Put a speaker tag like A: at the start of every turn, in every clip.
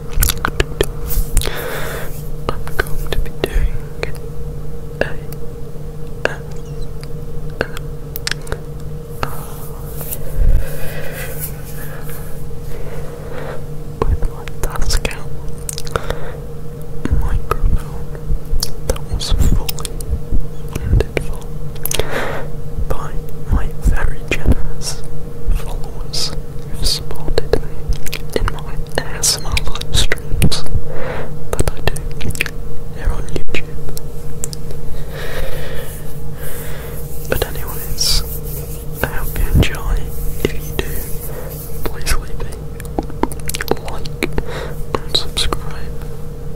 A: I'm going to be doing a with my task microphone that was funded by my very generous followers have in my ASMR live streams that I do here on YouTube. But anyways, I hope you enjoy. If you do, please leave a like and subscribe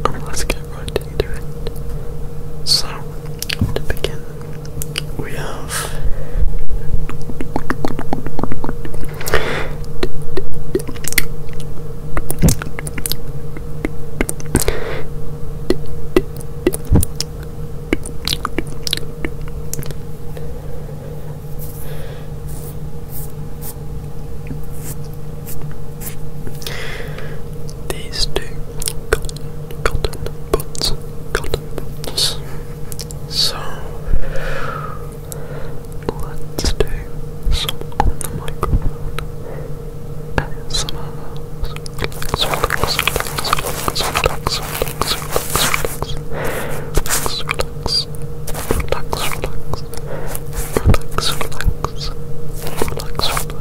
A: and let's get right into it. So, to begin we have these two cotton, cotton, so let's do some on the microphone. And some relax, relax, relax, relax, relax, relax, relax, relax. Relax, relax, relax, relax, relax, relax.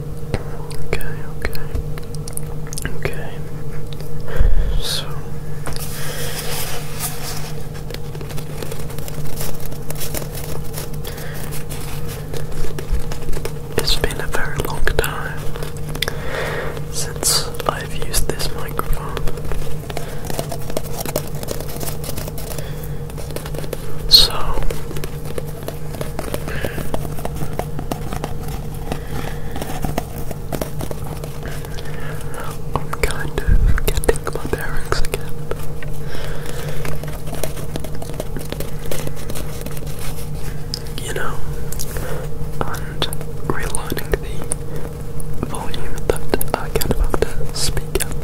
A: Okay, okay. Okay. So it's been a very long time since I've used this microphone. So I'm kind of getting my bearings again. You know, and relearning the volume that I can about to speak at.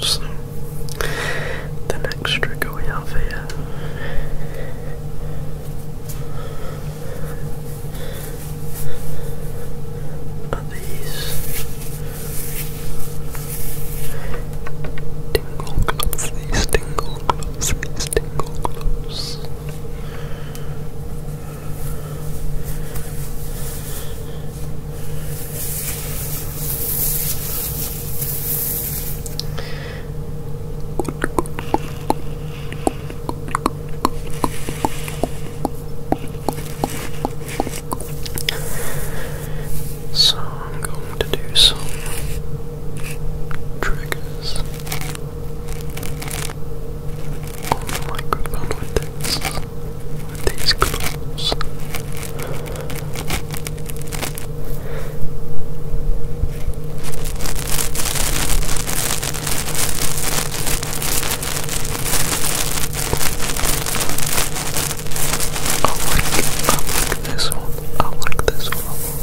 A: So, the next trigger we have here are these tingle gloves, these tingle gloves, these tingle gloves. So I'm going to do some triggers on the microphone with these clothes. I like, I like this one. I like this one a lot.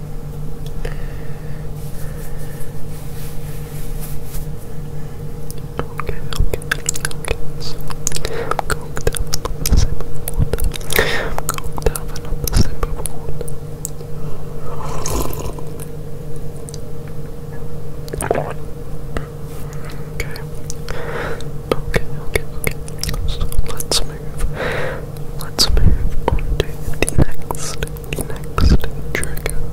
A: Okay, okay, okay. So I'm going to have another sip of Okay. Okay, okay, okay. So let's move. Let's move on to the next next trigger. Now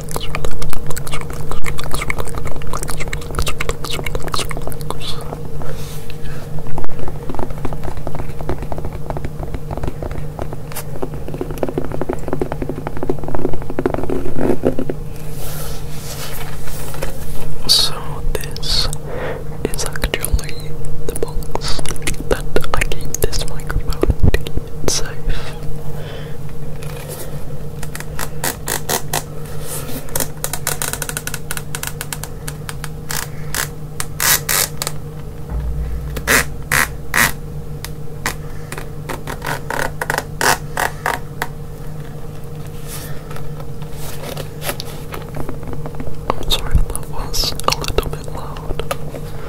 A: So, this is actually the box that I gave this microphone to it's safe. sorry that was a little bit loud.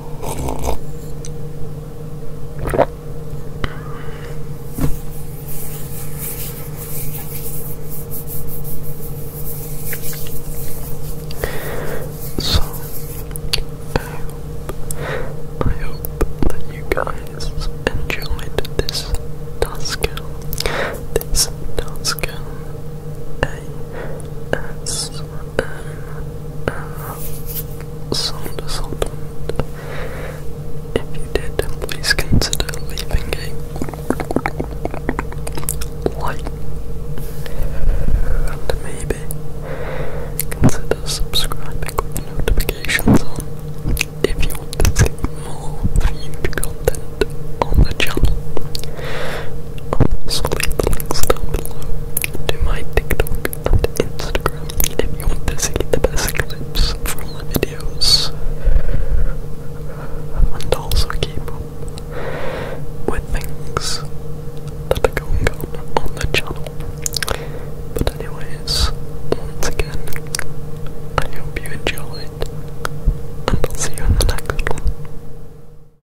A: So, I hope, I hope that you guys enjoyed this task, this task, A S M uh, If you did, please consider leaving a like and maybe consider subscribing with notifications on if you want to see more viewed content on the channel. Always click the links down below to my TikTok and Instagram if you want to see the best clips from videos. And also keep up with things that are going on on the channel. But anyways, once again, I hope you enjoyed, and I'll see you in the next one.